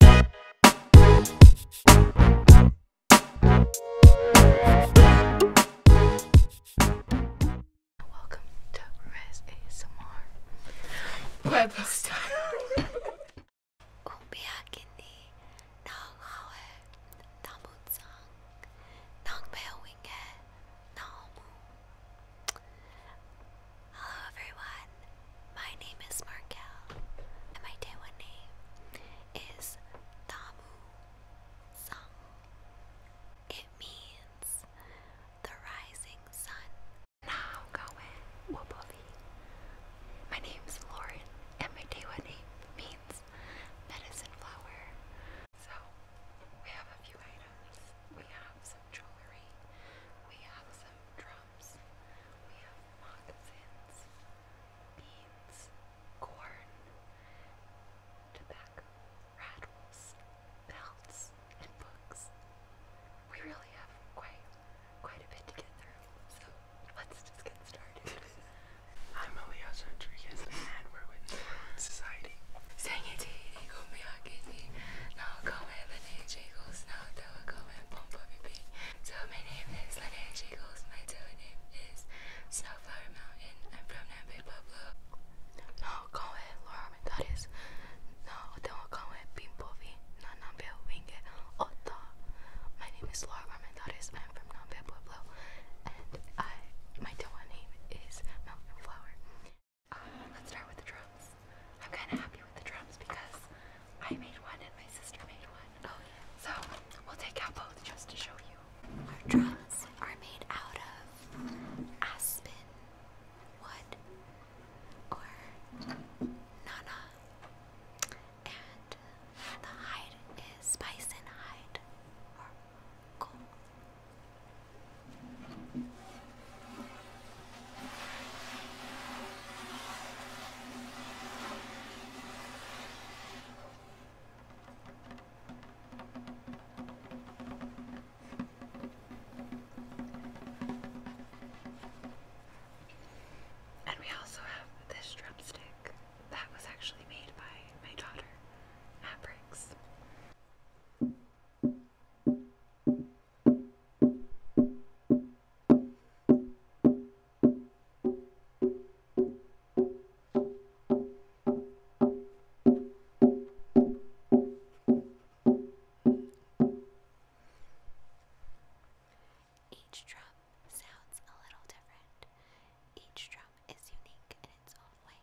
Welcome to Rez ASMR Web style Umiyaki ni nang hawe namutsang nang meowinge naomu Hello everyone, my name is Markel, and my day one name is Tamu It means the rising sun. Now going Wobovi. My name is Lauren, and my day one name means medicine flower. So we have a few items. We have some jewelry. We have some drum crops. We have moccasins, beans, corn, tobacco, rattles, belts, and books. We really have quite quite a bit to get through, so let's just get started. I'm Elias Rodriguez, and we're with Society. So my name is Linnea Jiggles, my Zoe name is Snowflower Mountain. I'm from Nampa, Pueblo. No, con el Laura Mendares. No, tengo con el Pimpovi, no Nampe Winge, Ota. My name is Laura Armendariz. I'm from Nampa, Pueblo. And I, my Dewa name is Mountain Flower. let's start with the drums. I'm kind of happy with the drums because I made one and my sister made one. Oh, so we'll take out both just to show you. Our drums are made out of aspen wood or nana, and the hide is bison hide or coal. And we also have this drumstick that was actually made by my daughter at each drum sounds a little different. Each drum is unique in its own way.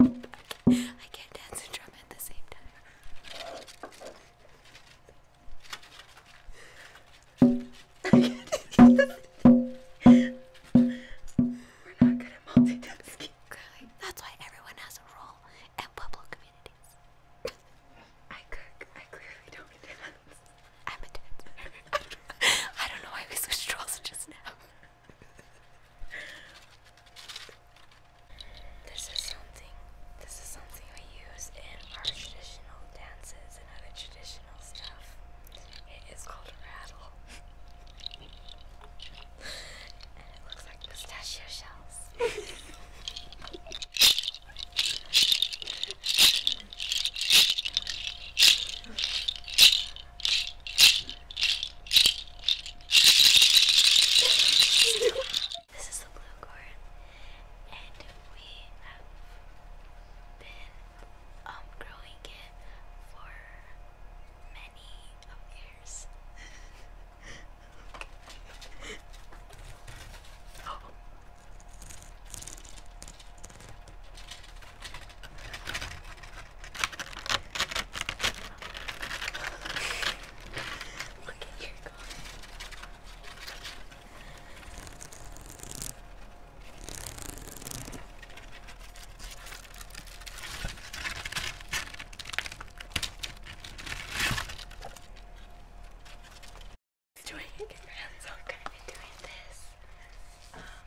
I can't dance and drum at the same time. We're not good at multitasking. Clearly, that's why everyone has a role at Pueblo communities. I clearly don't dance. I'm a dancer. I don't know why we switched roles just now. This is something. This is something we use in our traditional dances and other traditional stuff. It is called a rattle, and it looks like pistachio shells. This is the blue corn, and we have been um, growing it for many of years. oh. Look at your car. Doing hands on kind of doing this. Um,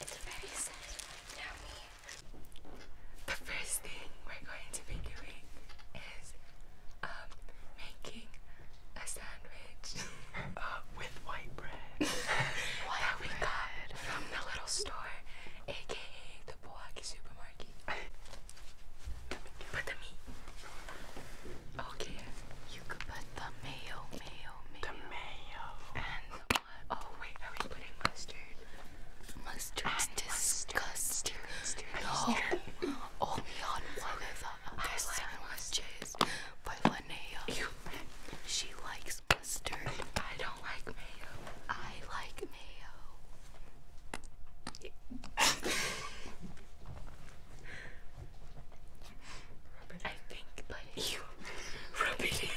it's very sad one, The first thing we're going to be doing is um making a sandwich. uh, with white bread. white we got from the little store, aka the Boaki supermarket. Put the meat. Okay. You put the mayo, mayo, mayo. The mayo. And the Oh wait, are we putting mustard? Mustard's and disgusting. Mustard. No. Only on one of the other sandwiches by Linnea. You. She likes I don't like mayo. I like mayo. I think, but you rub it in.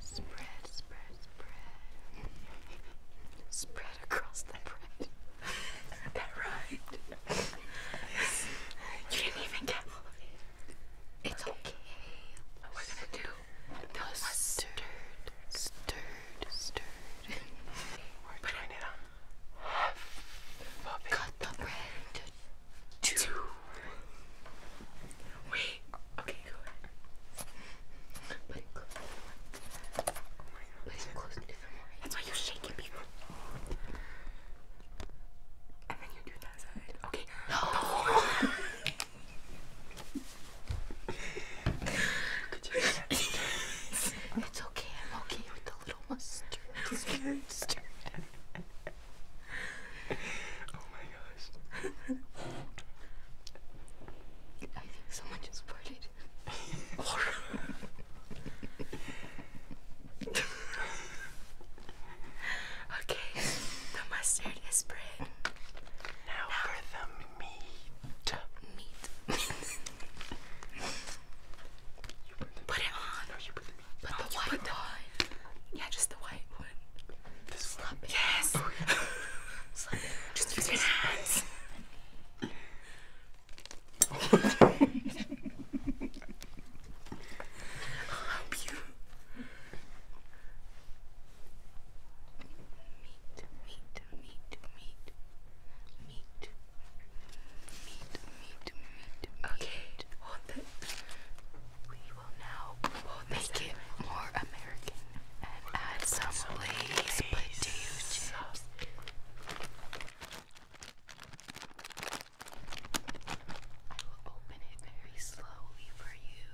Spread, spread, spread. Spread across the bread. that rhymed. you didn't even get all of it. It's okay. What we gonna do? The no, stirred, stirred, stirred. we're but doing Cut the bread two. Wait. Okay, go ahead. Put it close to the one. Put it close to the That's why you shake it, people. And then you do that side. Okay. No. it's okay. I'm okay with the little mustard. Stir, oh my gosh. I think someone just farted. okay, the mustard is spread. Now, for the meat. Meat. put, it on. put the white on. Yeah, just the white yes. Oh, Slap Just use your hands. I'll you. Meat, meat, meat, meat, meat, meat, meat, meat. Okay, hold it will now we'll make it more American and add some, some Lay's potato chips. I will open it very slowly for you.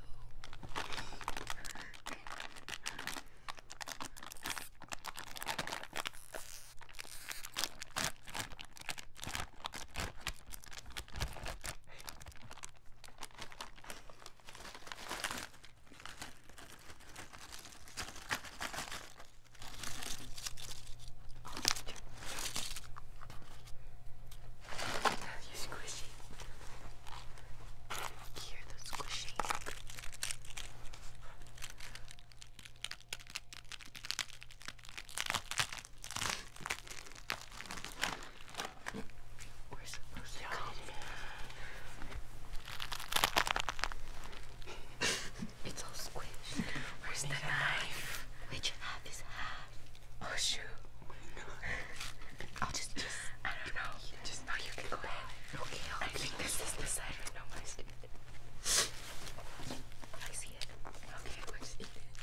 You squishy. Hear the squishing. We're supposed to cut it. it's all squished. Where's the knife? Which half is half? Oh shoot. I'll just, just I don't know. You you can go ahead. Okay, i think this is the side right now. I see it. Okay, let's eat it.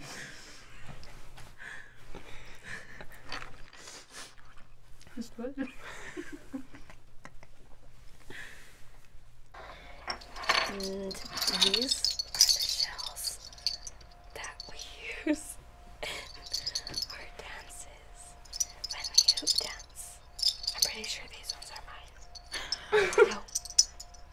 Just what? and these shells that we use in dances when we hoop dance. I'm pretty sure these ones are mine.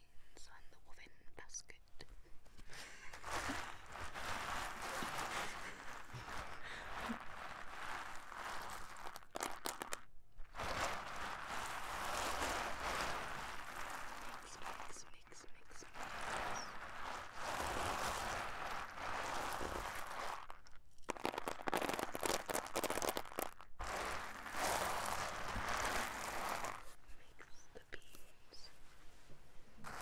beans and the woven basket. mix, mix, mix, mix, mix makes the beads. Turn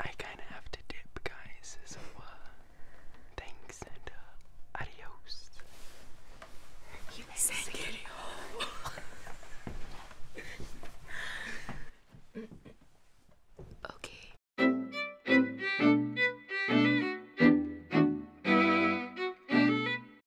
I kinda have to dip, guys, uh, thanks and uh, adios. okay.